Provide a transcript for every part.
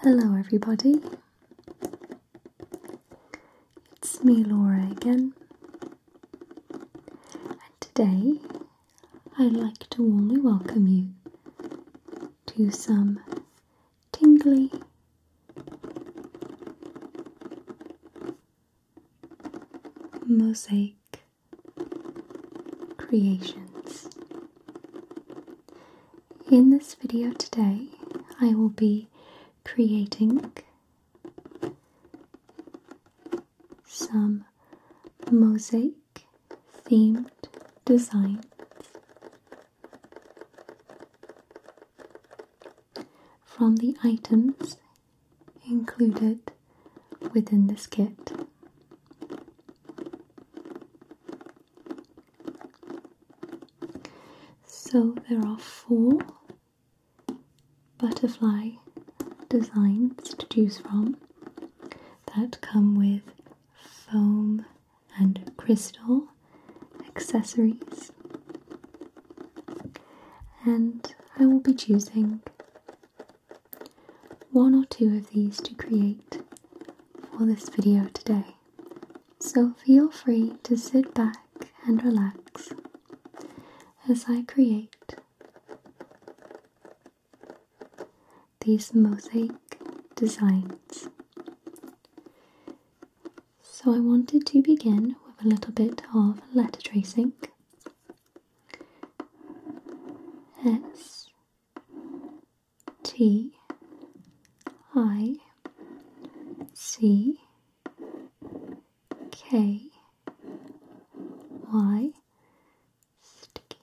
Hello, everybody. It's me, Laura, again, and today I'd like to warmly welcome you to some tingly mosaic creations. In this video today, I will be creating some mosaic themed designs from the items included within this kit. So there are four butterfly designs to choose from that come with foam and crystal accessories. And I will be choosing one or two of these to create for this video today. So feel free to sit back and relax as I create these mosaic designs. So I wanted to begin with a little bit of letter tracing. S T I C K Y sticky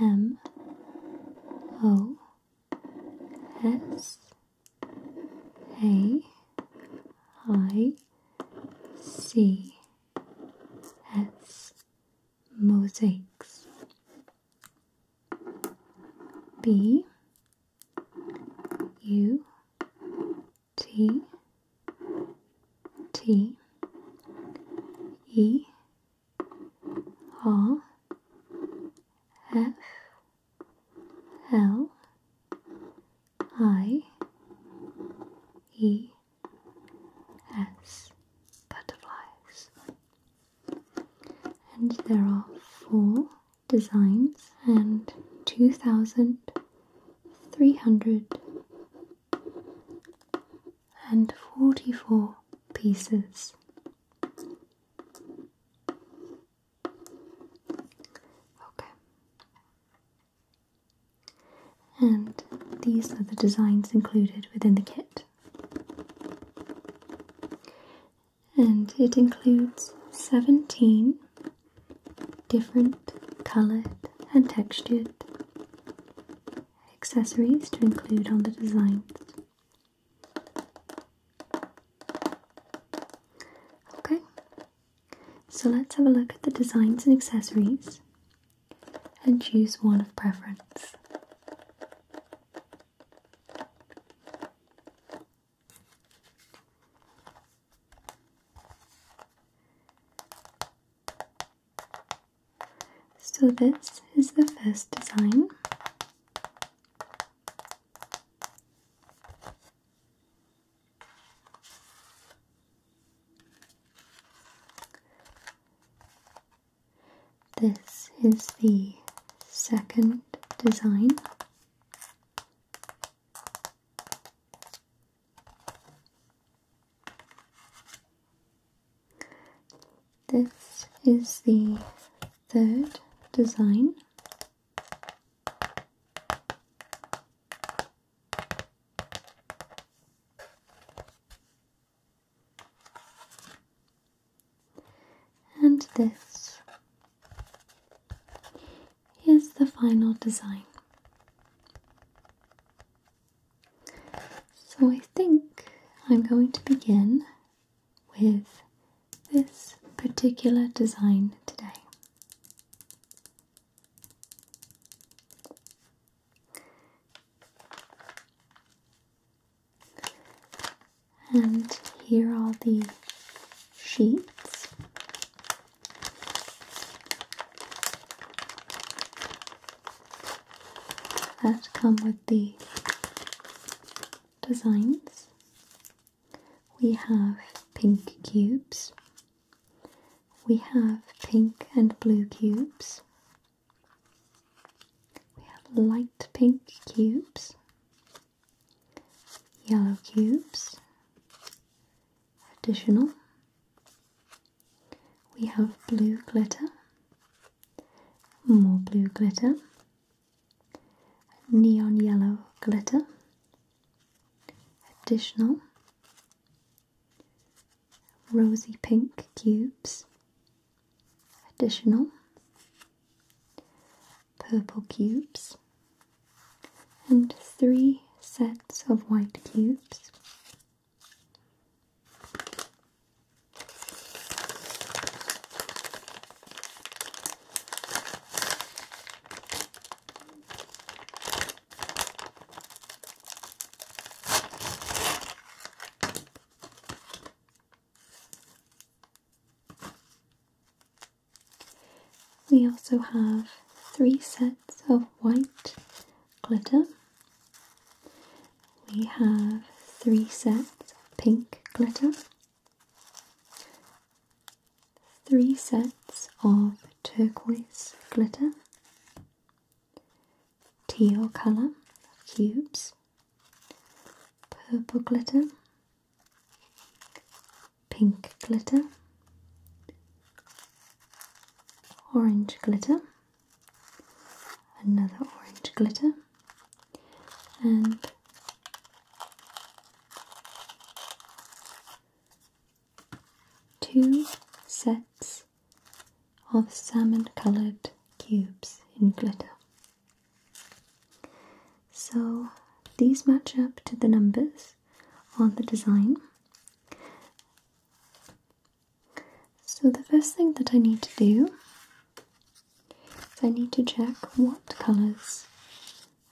M O S A I C S, mosaics. B U T T E R F L I E as butterflies. And there are four designs and 2,344 pieces. Okay. And these are the designs included within the kit. And it includes 17 different coloured and textured accessories to include on the designs. Okay, so let's have a look at the designs and accessories and choose one of preference. So this is the first design. This is the second design. This is the third design. And this is the final design. So I think I'm going to begin with this particular design today. And here are the sheets. That come with the designs. We have pink cubes we have pink and blue cubes. We have light pink cubes, yellow cubes, additional. We have blue glitter, more blue glitter, neon yellow glitter, additional, rosy pink cubes, additional purple cubes, and three sets of white cubes. We also have three sets of white glitter. We have three sets of pink glitter. Three sets of turquoise glitter teal colour cubes, purple glitter, pink glitter, orange glitter, another orange glitter, and two sets of salmon colored cubes in glitter. So these match up to the numbers on the design. So the first thing that I need to do is I need to check what colors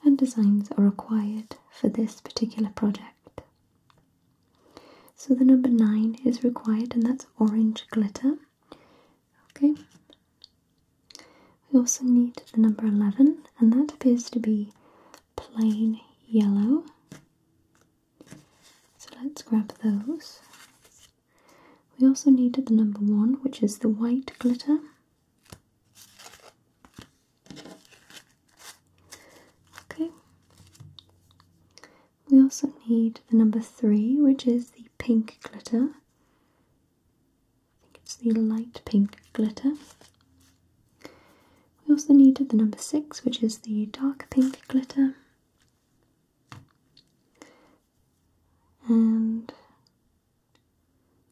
and designs are required for this particular project. So the number 9 is required and that's orange glitter. Okay. We also need the number 11 and that appears to be plain yellow. So let's grab those. We also need the number 1 which is the white glitter. Okay. We also need the number three, which is the pink glitter. I think it's the light pink glitter. We also need the number six, which is the dark pink glitter. And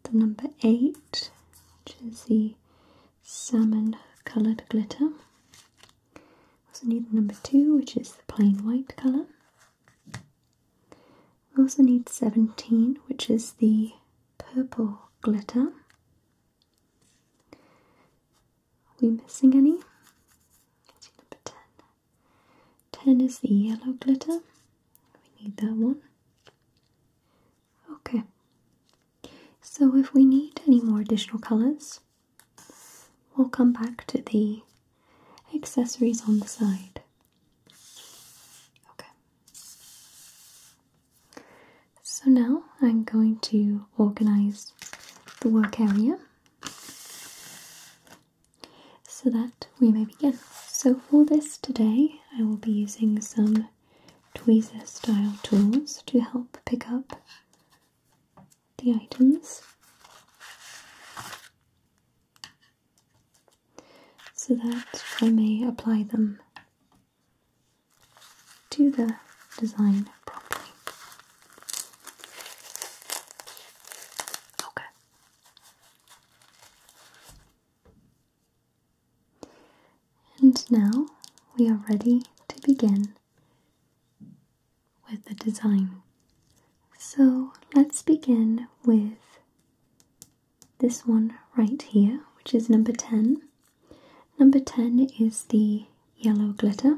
the number eight, which is the salmon coloured glitter also need number two, which is the plain white colour. We also need 17, which is the purple glitter. Are we missing any? number 10. 10 is the yellow glitter. We need that one. Okay. So if we need any more additional colours, We'll come back to the accessories on the side. Okay. So now I'm going to organize the work area so that we may begin. So for this today, I will be using some tweezer style tools to help pick up the items. So that I may apply them to the design properly. Okay. And now we are ready to begin with the design. So let's begin with this one right here, which is number 10. Number 10 is the yellow glitter.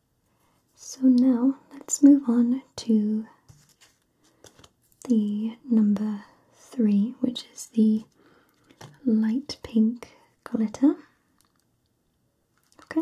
So now let's move on to the number three, which is the light pink glitter. Okay.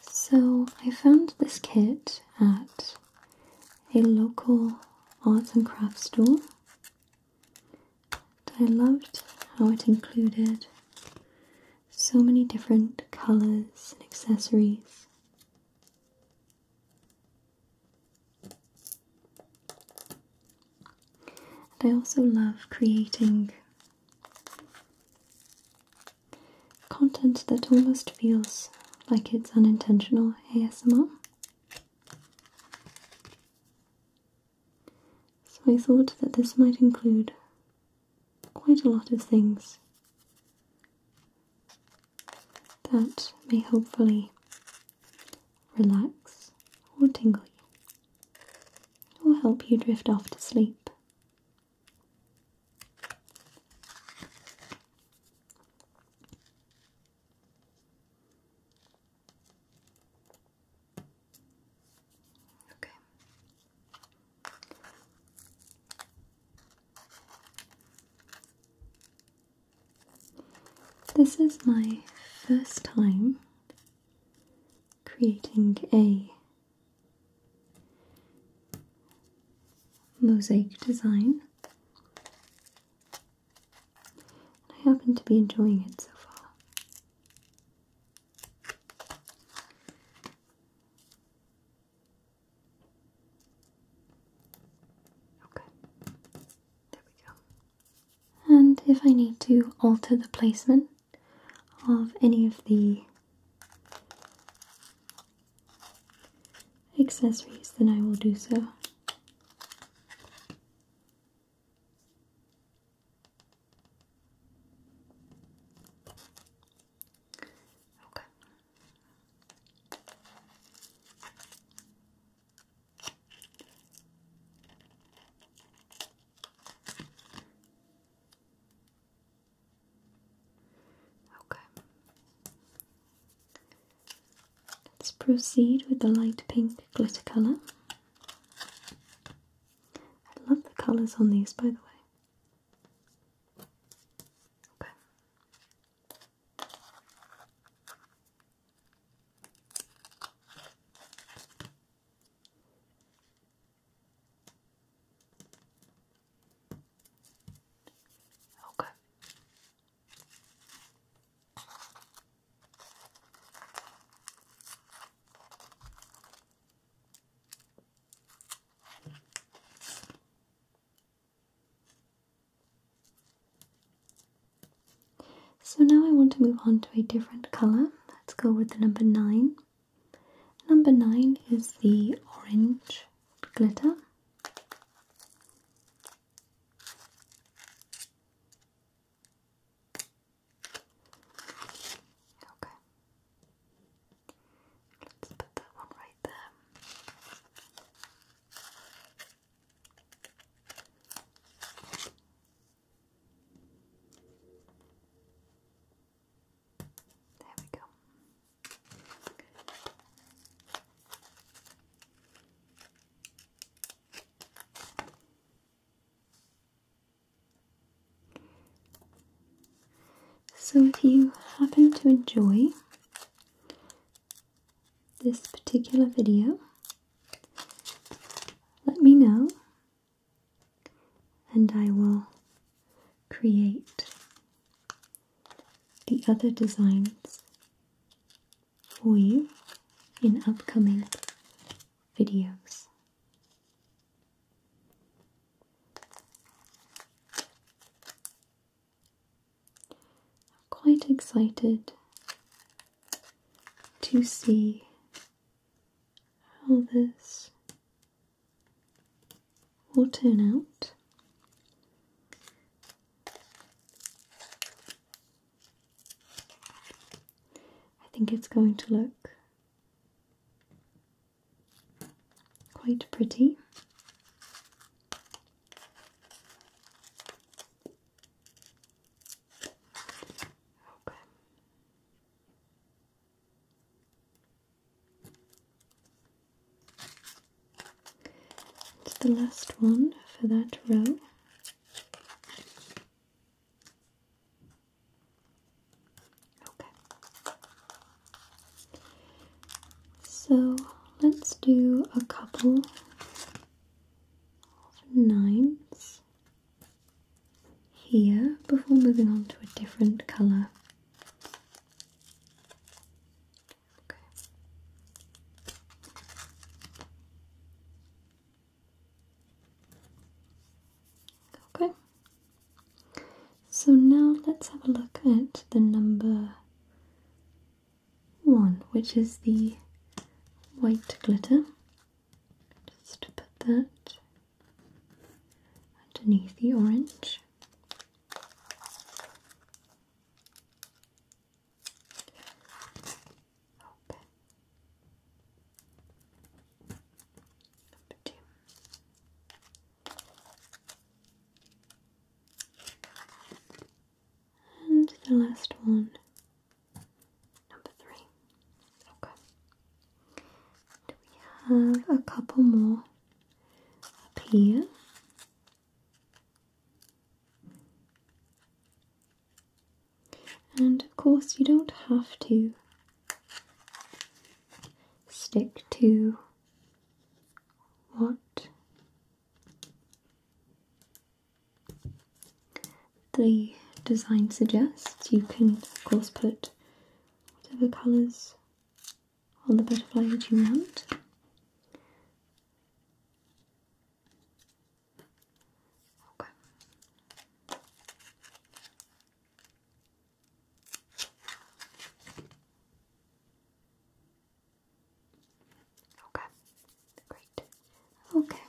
so I found this kit at a local arts and crafts store. I loved how it included so many different colours and accessories. And I also love creating content that almost feels like it's unintentional ASMR. So I thought that this might include quite a lot of things that may hopefully relax or tingle you or help you drift off to sleep Okay. This is my first time creating a mosaic design. I happen to be enjoying it so far. Okay, there we go. And if I need to alter the placement of any of the accessories, then I will do so. Okay. Okay. Let's proceed with the light pink glitter colour. I love the colours on these, by the way. Okay. Okay. So now I want to move on to a different color. Let's go with the number nine. Number nine is the orange glitter. Okay. Let's put that one right there. So, if you happen to enjoy this particular video, let me know, and I will create the other designs for you in upcoming videos. I'm quite excited to see all this will turn out I think it's going to look quite pretty. It's the last one for that row. Okay. So let's do a couple of nines here before moving on to a different colour Okay. So now let's have a look at the number one, which is the white glitter. Just put that underneath the orange. And the last one, number three. Okay. Do we have a couple more? up here. And of course, you don't have to stick to what the design suggests. You can, of course, put whatever colours on the butterfly that you want. Okay. Okay. Great. Okay.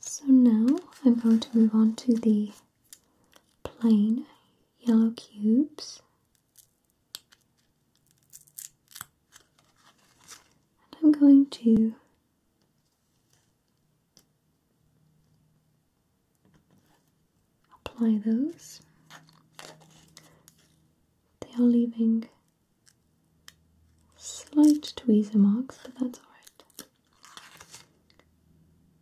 So now I'm going to move on to the plain yellow cubes. And I'm going to apply those. They are leaving slight tweezer marks, but that's alright.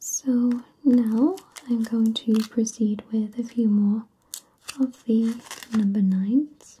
So now I'm going to proceed with a few more of the number nines.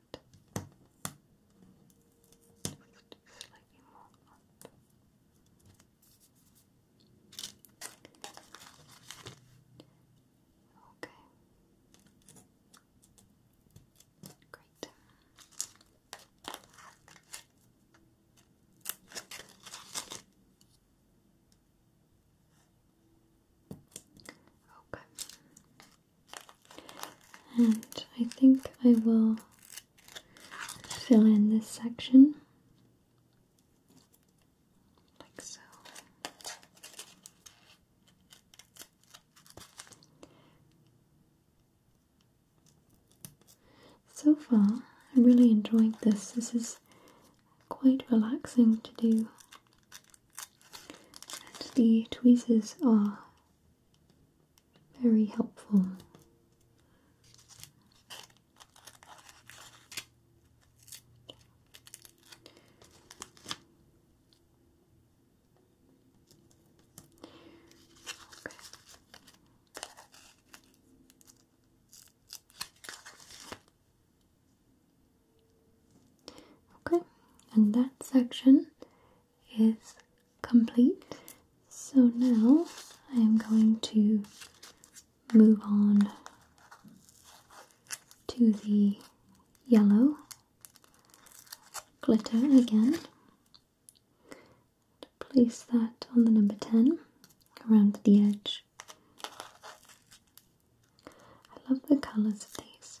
that. Slightly more up. Okay. Great. Okay. And I think I will fill in this section like so. So far, I'm really enjoying this. This is quite relaxing to do and the tweezers are very helpful. Okay, and that section is complete. So now I am going to move on to the yellow glitter again. Place that on the number 10 around the edge. I love the colours of these.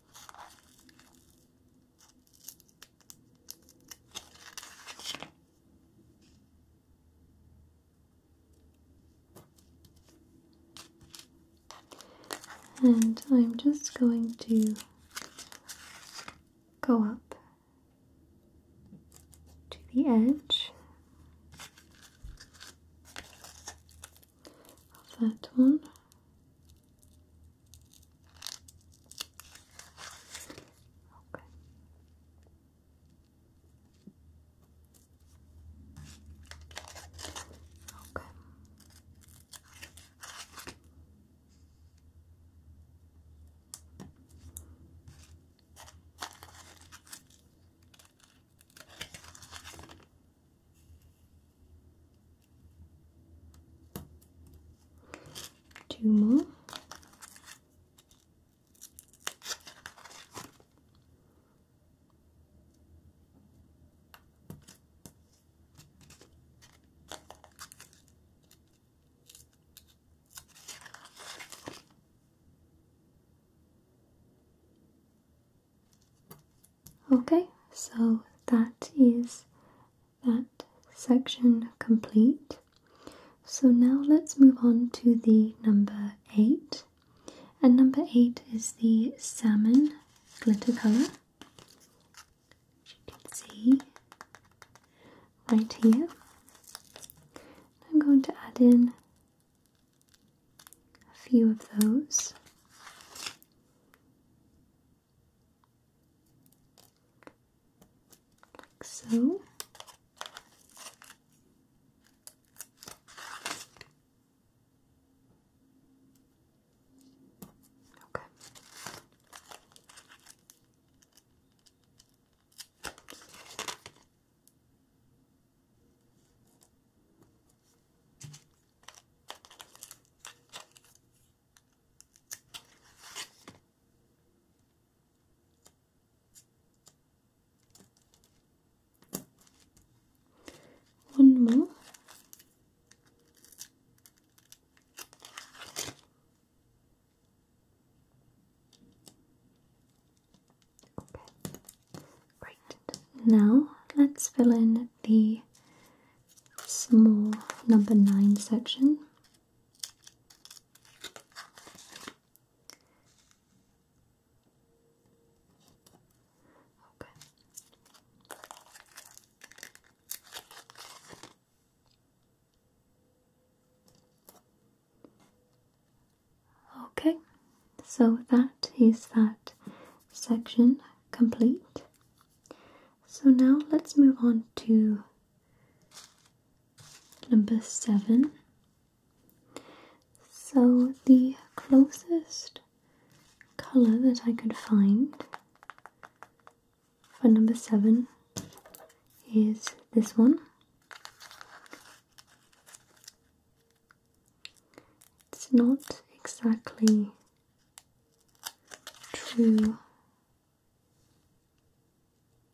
And I'm just going to go up to the edge of that one. Okay. Okay. Two more. Okay, so that is that section complete. So now let's move on to the number 8. And number 8 is the salmon glitter colour. As you can see right here. I'm going to add in a few of those like so. Okay. One more. Okay. Great. Now let's fill in the small number 9 section. Okay. Okay, so that is that section complete. So now let's move on to number seven. So the closest color that I could find for number seven is this one. It's not exactly true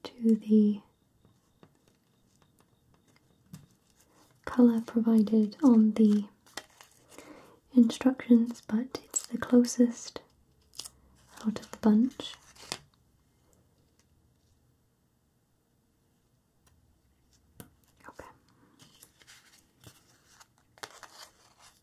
to the color provided on the instructions, but it's the closest out of the bunch. Okay.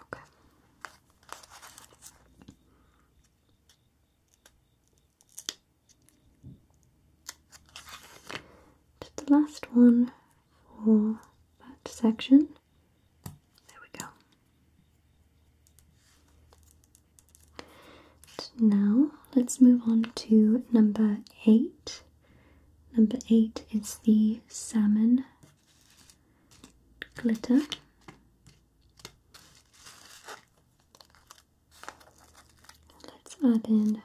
Okay. Just the last one for that section. There we go. now let's move on to number eight. Number eight is the salmon glitter. Let's add in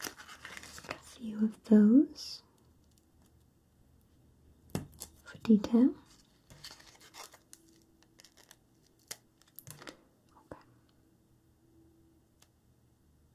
a few of those for detail.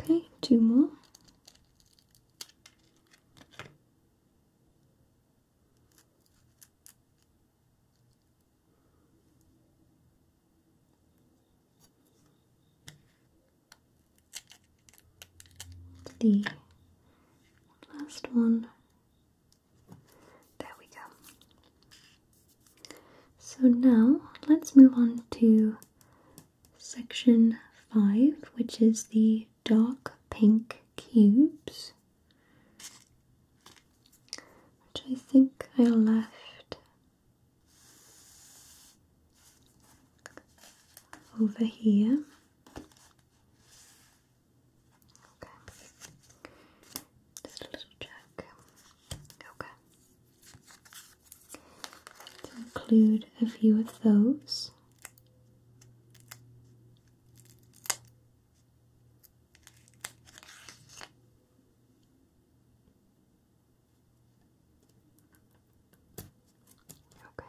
Okay, two more the last one. There we go. So now let's move on to section 5, which is the dark pink cubes. Which I think I left over here. Okay. Just a little check. Okay. To include a few of those. Okay.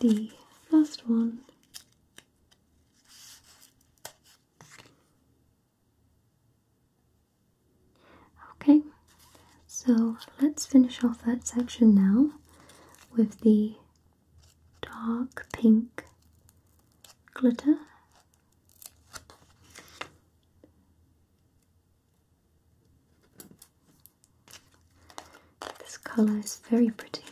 Okay. the last one. Okay, so let's finish off that section now with the dark pink glitter. This colour is very pretty.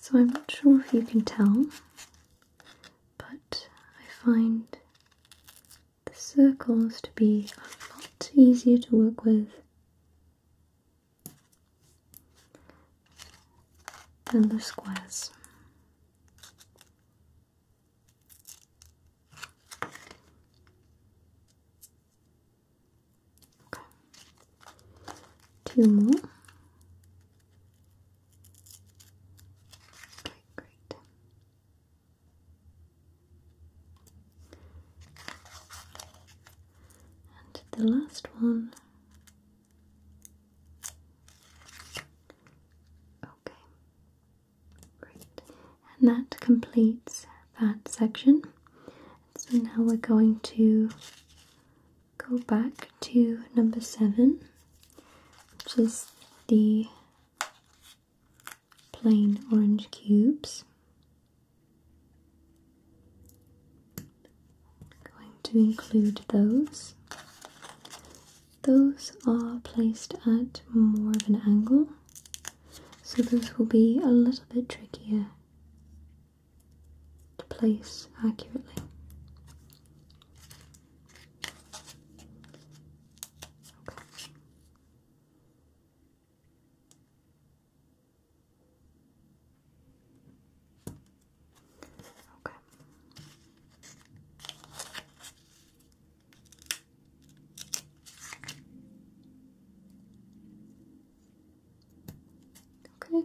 So I'm not sure if you can tell, but I find the circles to be a lot easier to work with than the squares. Okay. Two more. Okay, great. And the last one. Okay. Great. And that completes that section. So now we're going to go back to number seven, which is the plain orange cubes. Going to include those. Those are placed at more of an angle, so those will be a little bit trickier to place accurately. Okay. Okay. Okay,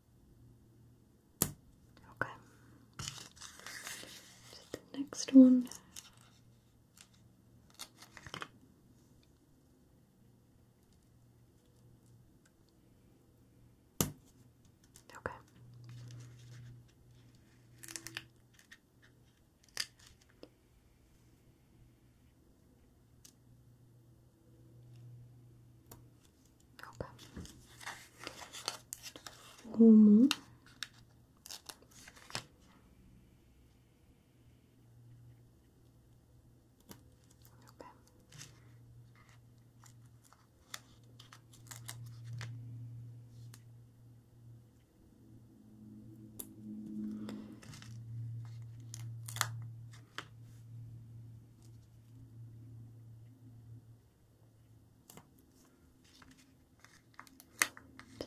Okay. the next one. Okay. Okay. One Okay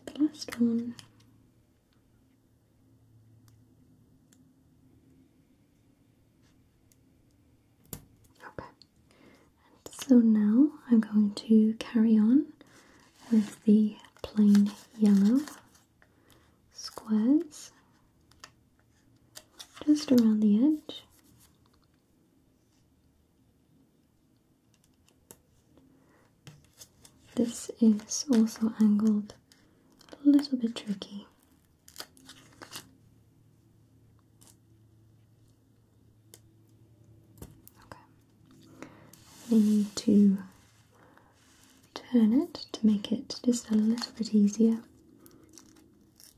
the last one. Okay, so now I'm going to carry on with the plain yellow squares just around the edge this is also angled a little bit tricky. Okay. We need to turn it to make it just a little bit easier.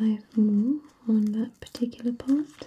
I have more on that particular part.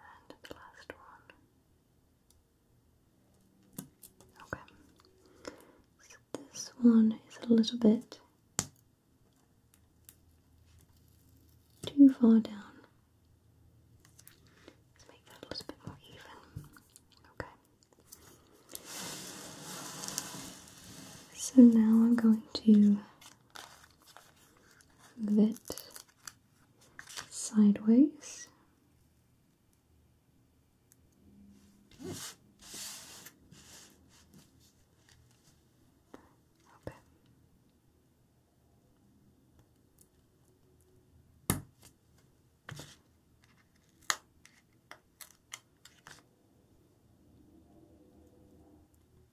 And the last one. Okay. So this one is a little bit too far down. Let's make that a little bit more even. Okay. So now I'm going to that sideways.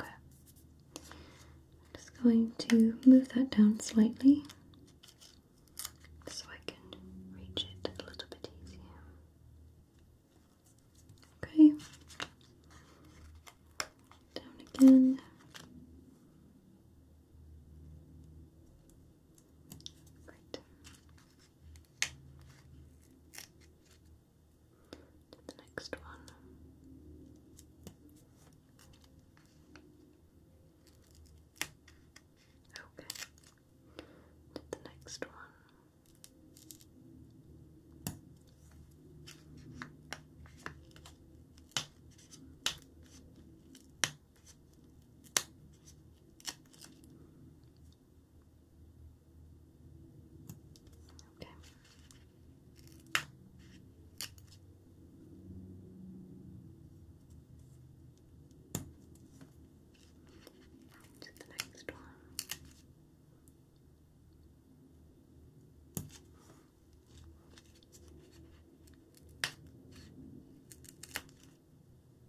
Okay. just going to move that down slightly so I can reach it a little bit easier. Okay. Down again. Great to the next one. Okay. To the next one. Okay. To the next one.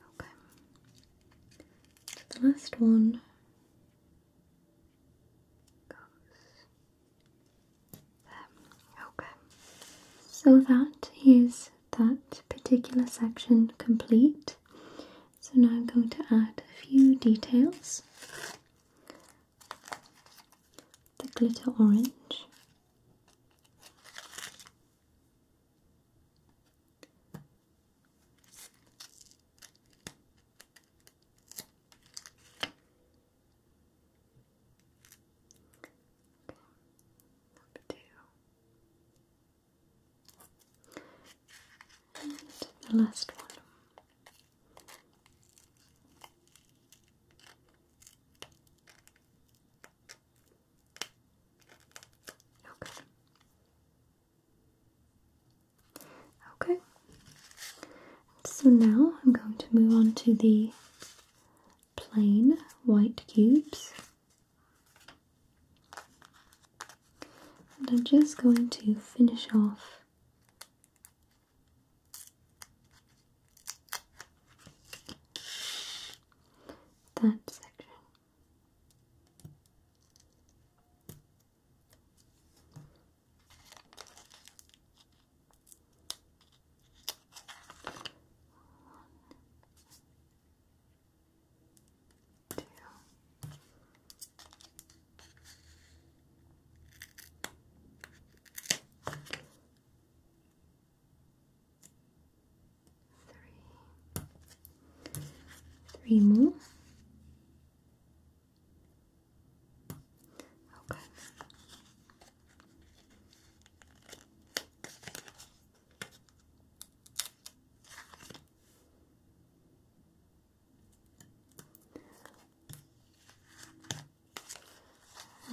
Okay. So the last one goes there. Okay. So that is that particular section complete. So now I'm going to add a few details the glitter orange, and the last one. Okay. Okay. So now I'm going to move on to the plain white cubes. And I'm just going to finish off that section. two, Three. Three more. Okay.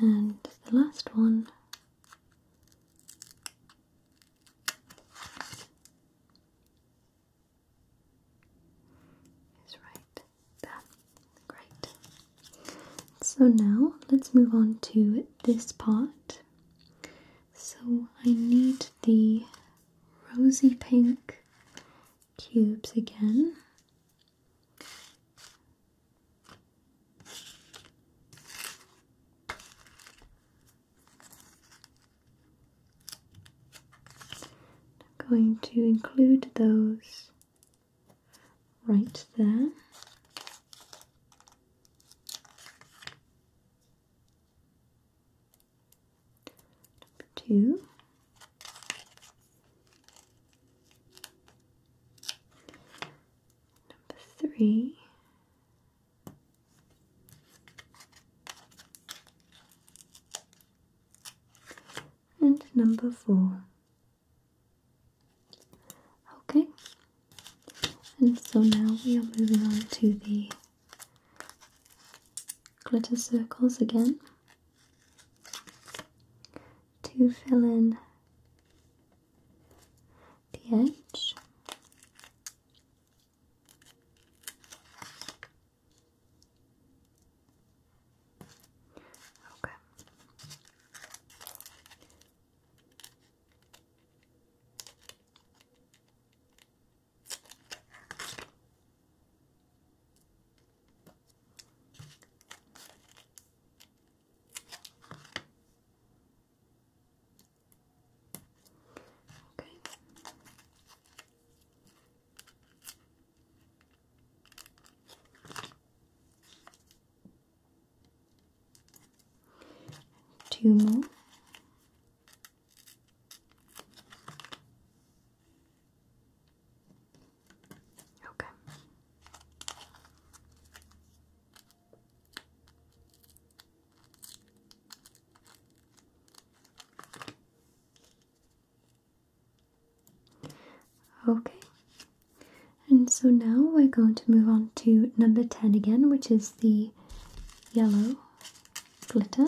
And the last one is right there. Great. So now let's move on to this part. So I need the rosy pink cubes again. I'm going to include those right there. Number two. Number three. And number four. Okay, and so now we are moving on to the glitter circles again to fill in the edge. Okay. Okay. Two more. Okay. Okay. And so now we're going to move on to number 10 again, which is the yellow glitter.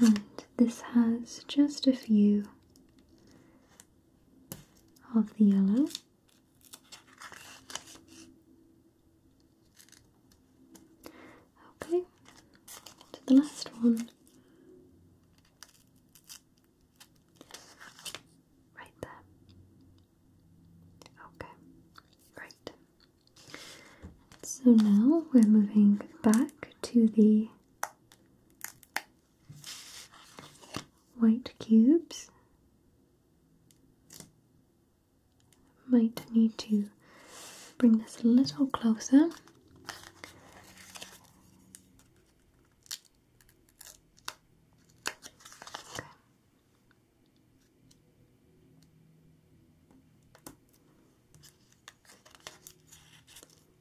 and this has just a few of the yellow. Okay, to the last one. Right there. Okay, right. So now we're moving back to the white cubes. Might need to bring this a little closer.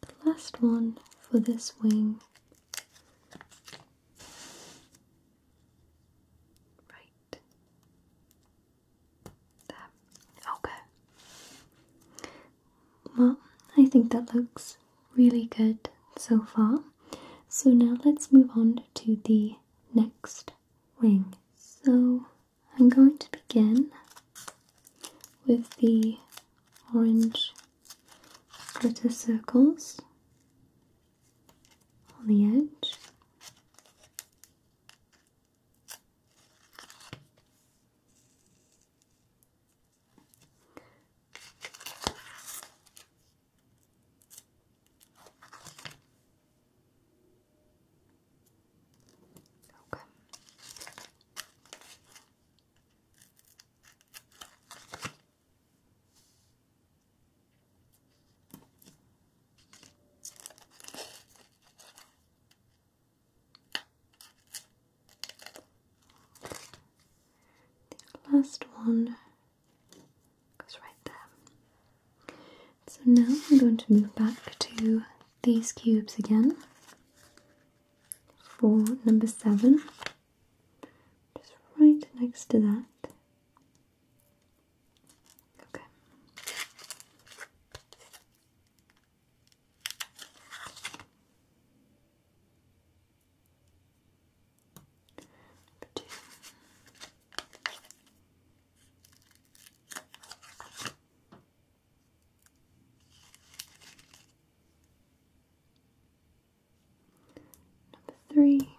the last one for this wing. Right. There. Okay. Well, I think that looks really good so far. So now let's move on to the next wing. So I'm going to begin with the orange Little circles on the edge. Okay last one goes right there. So now I'm going to move back to these cubes again for number seven, just right next to that. Okay. two. Number three.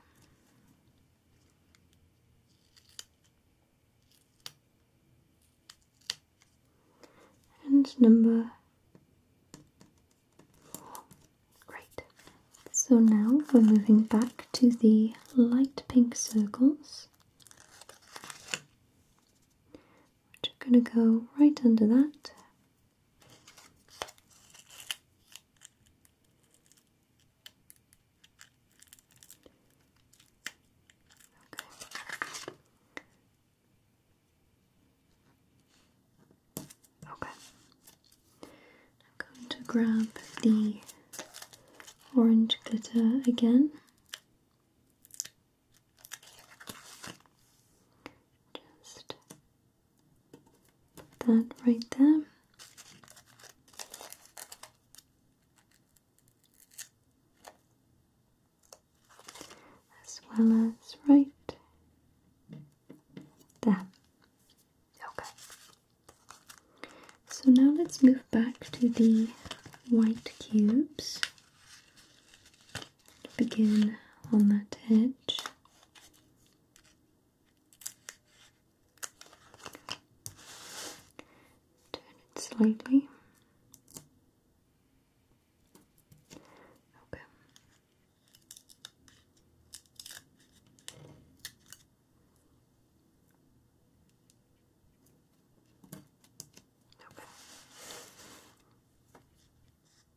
And number four. Great. So now we're moving back to the light pink circles. Which are going to go right under that Okay. I'm going to grab the orange glitter again. Just put that right there. As well as right there. Okay. So now let's move back to the white cubes begin on that edge. Turn it slightly. Okay. Okay.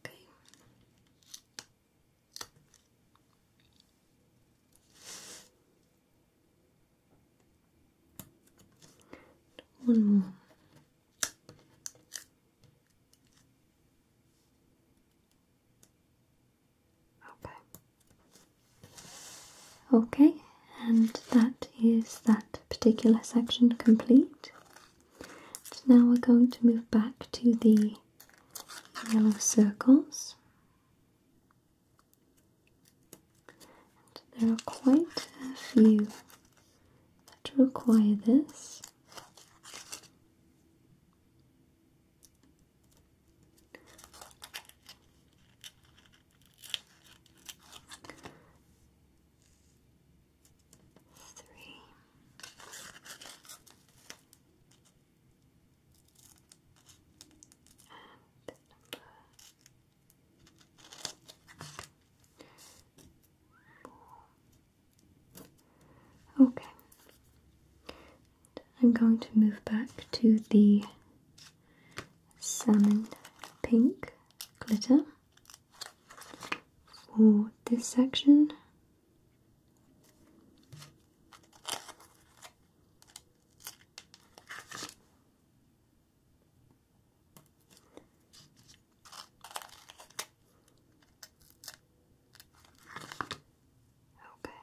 Okay. One more. Okay. Okay, and that is that particular section complete. now we're going to move back to the yellow circles. there are quite a few that require this three. And four. Okay. I'm going to move back to the salmon pink glitter for this section. Okay.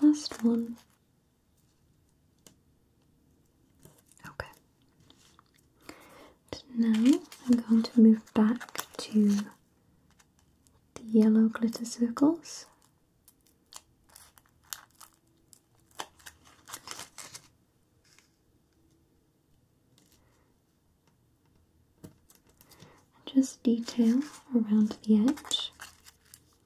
last one. Okay. now I'm going to move back to the yellow glitter circles. Just detail around the edge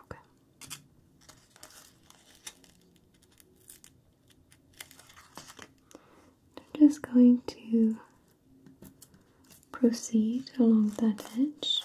Okay. I'm just going to proceed along that edge.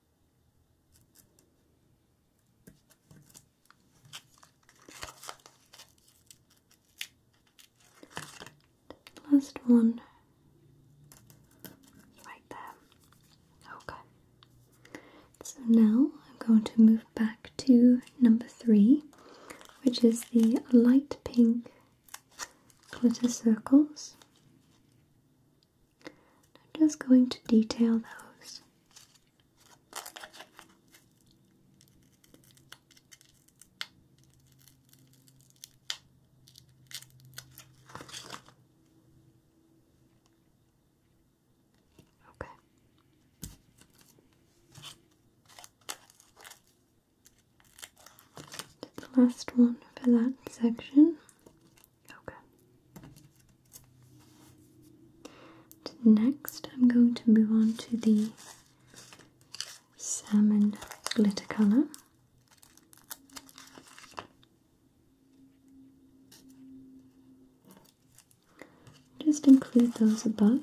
Last one right there. Okay. So now I'm going to move back to number three, which is the light pink glitter circles. I'm just going to detail those. Okay. Did the last one for that section. Okay. Next, I'm going to move on to the salmon glitter colour. Just include those above.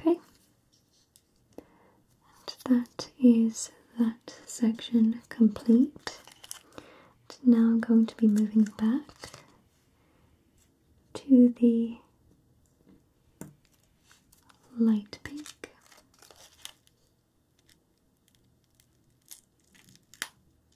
Okay, and that is that section complete. now I'm going to be moving back to the light pink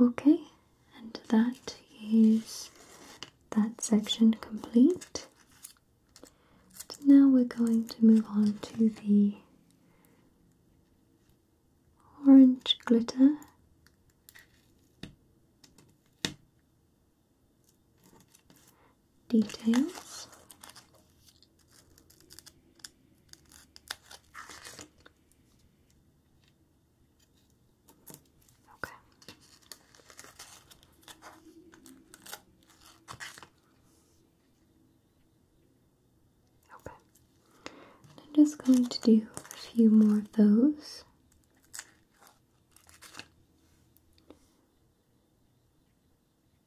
Okay, and that is that section complete. So now we're going to move on to the orange glitter. Details. Okay. Okay. I'm just going to do a few more of those. I'm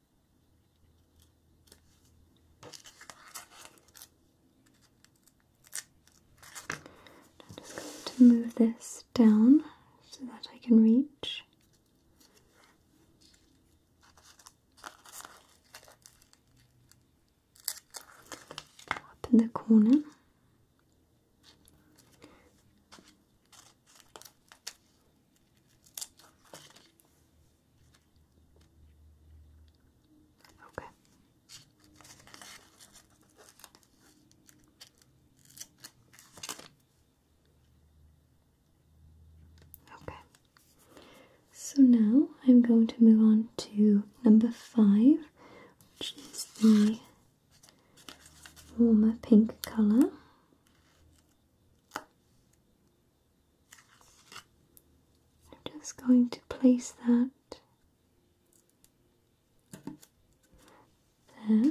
just going to move this down so that I can reach. Up in the corner. Okay. Okay. So now I'm going to move on to number five, which is the warmer pink colour. I'm just going to place that Okay.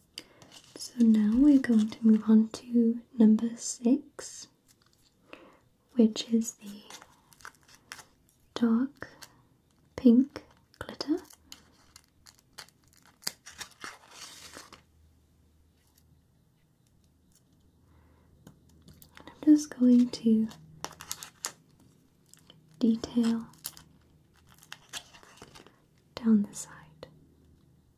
So now we're going to move on to number six, which is the dark pink glitter. I'm just going to detail down the side.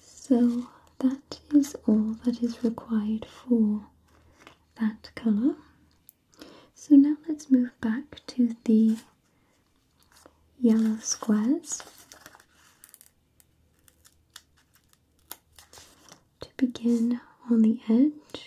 So that is all that is required for that colour. So now let's move back to the yellow squares. To begin on the edge.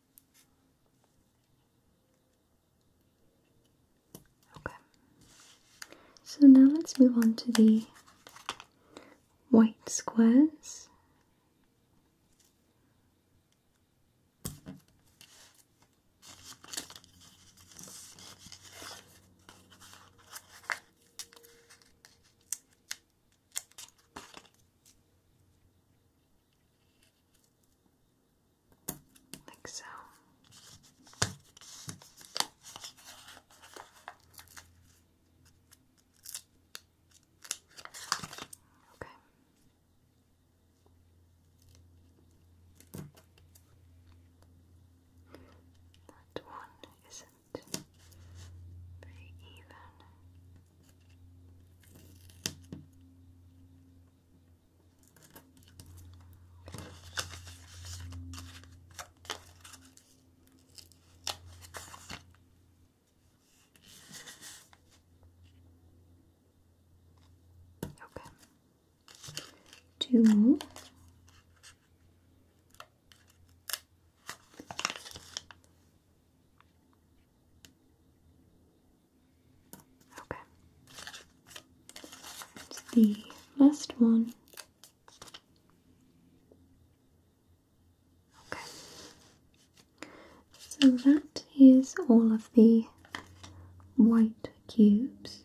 Okay. So now let's move on to the white squares like so. Okay. That one isn't very even. Okay. Two more. Okay. the last one. Okay. So that is all of the white cubes.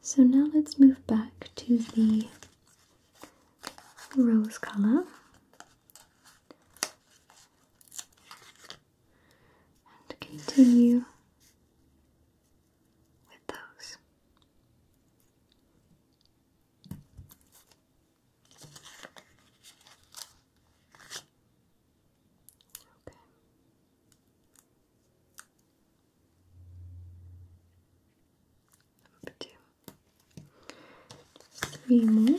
So now let's move back to the rose color and continue with those. Okay. Up to three more.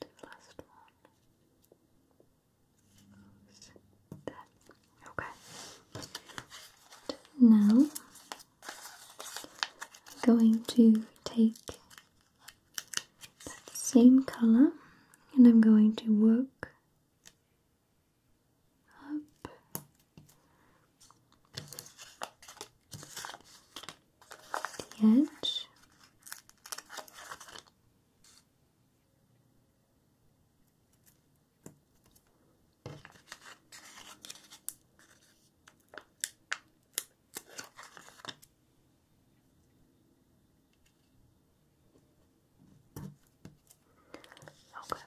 last one. Okay. Now, I'm going to take that same color and I'm going to work up. The edge. Okay.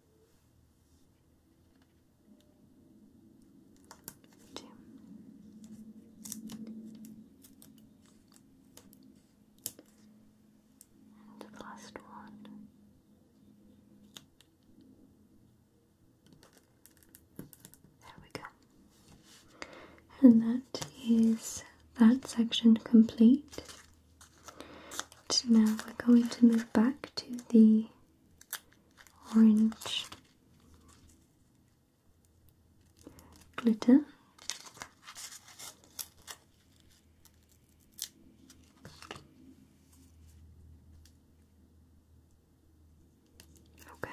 last one. There we go. And that is that section complete. And now we're going to move back to the orange glitter. Okay.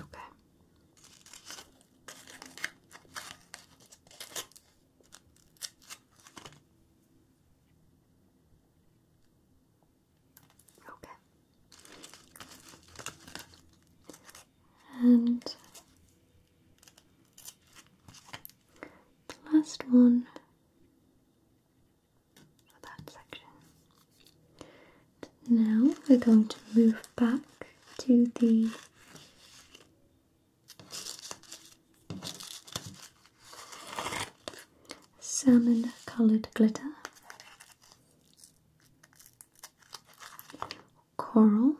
Okay. Okay. And the last one for that section now we're going to move back to the salmon coloured glitter, coral.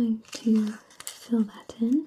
I'm going to fill that in.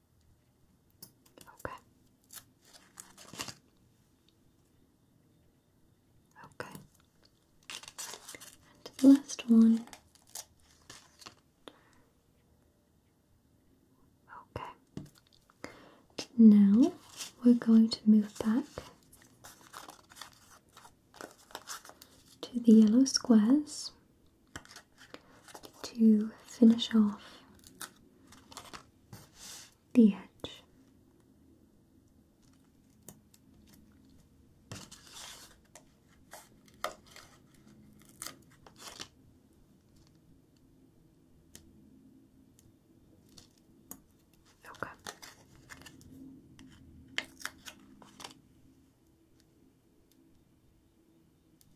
Okay. Okay. And the last one. Okay. Now we're going to move back to the yellow squares to finish off the edge. Okay.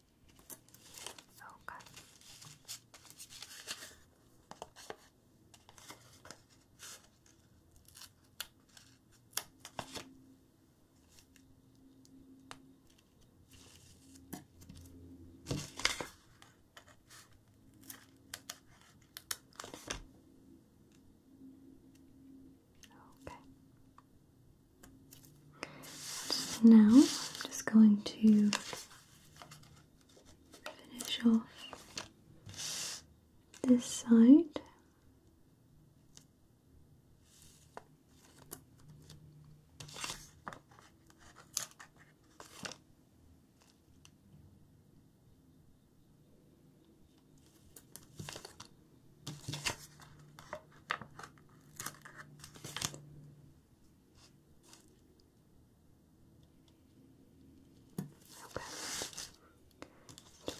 Okay. now, I'm just going to finish off this side.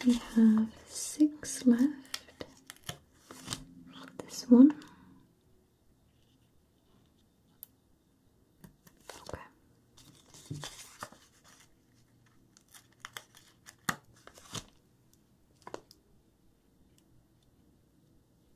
We have six left. This one.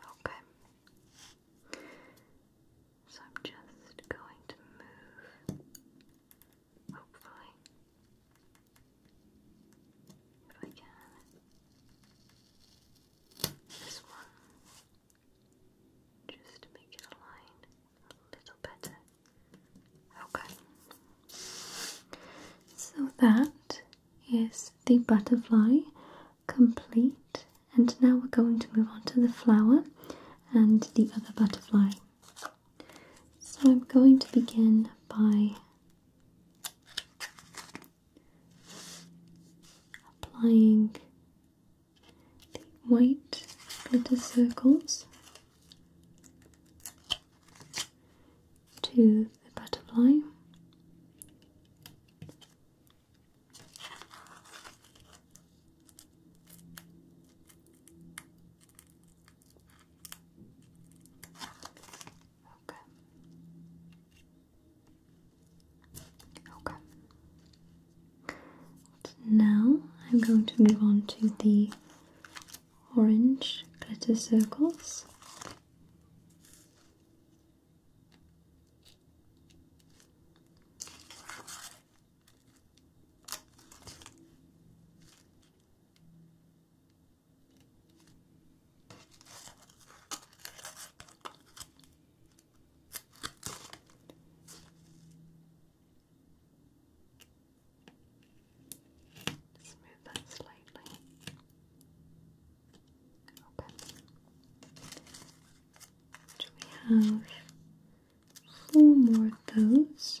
Okay. Okay. So I'm just going to move Hopefully. If I can. This one. Just make it align a little better. Okay. So that is the butterfly complete. And now we're going to move on to the flower and the other butterfly. So I'm going to begin by applying the white glitter circles to the butterfly. Okay. Okay. Now I'm going to move on to the orange glitter circles. Smooth that slightly. Open. Do we have four more of those?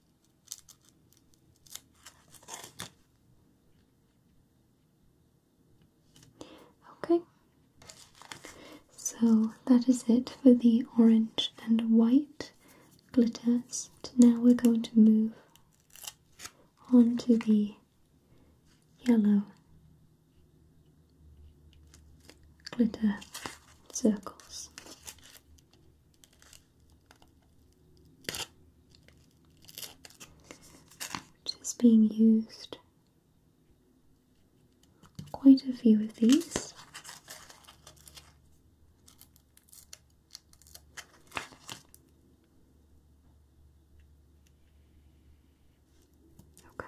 Okay, so that is it for the orange and white glitters. Now we're going to move on to the yellow glitter circles which is being used quite a few of these. Okay.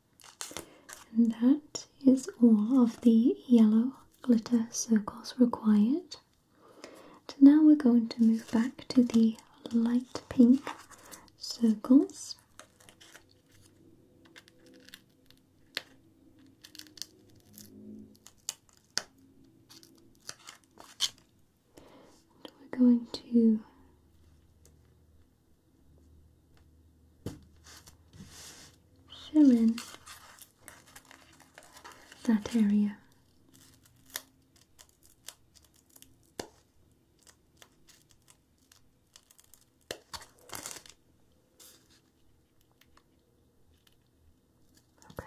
and that is all of the yellow glitter circles required. So now we're going to move back to the light pink circles. we're going to Fill that area. Okay.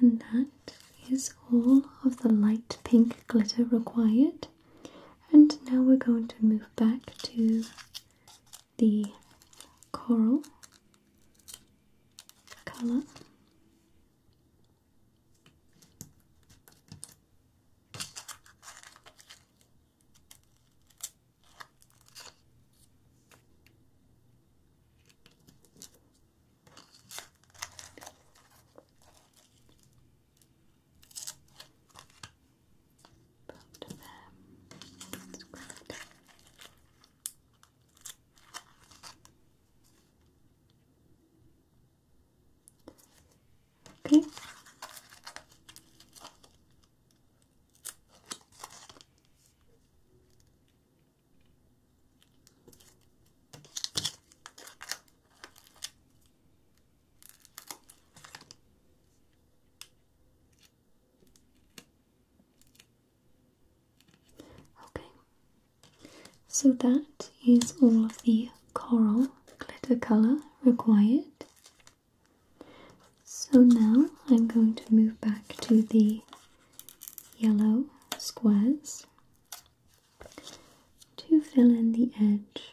And that is all of the light pink glitter required. And now we're going to move back to the coral color. Put them. That's great. Okay. Okay, so that is all of the coral glitter color required. So now I'm going to move back to the yellow squares to fill in the edge.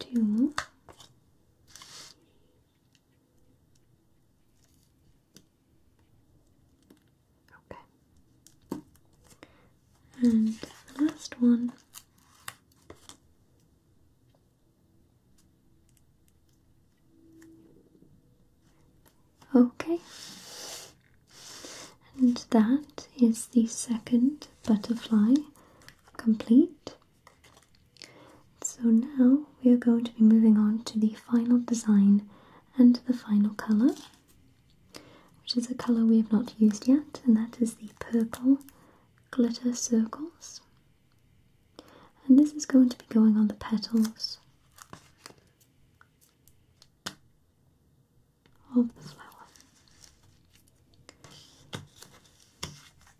Okay. Two Okay. And the last one. Okay. And that is the second butterfly complete. So now we are going to be moving on to the final design and the final colour, which is a colour we have not used yet, and that is the purple glitter circles. And this is going to be going on the petals of the flower.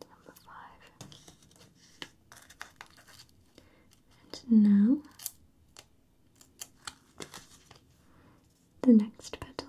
Number five. And now the next petal.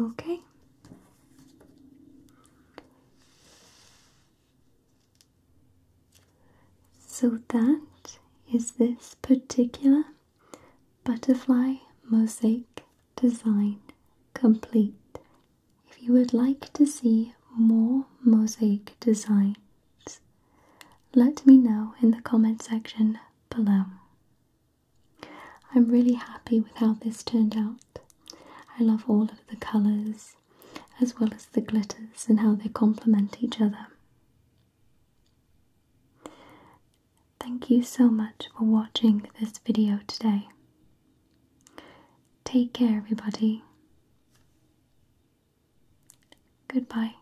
Okay. So that is this particular butterfly mosaic design complete. If you would like to see more mosaic designs, let me know in the comment section below. I'm really happy with how this turned out. I love all of the colours as well as the glitters and how they complement each other. Thank you so much for watching this video today. Take care everybody. Goodbye.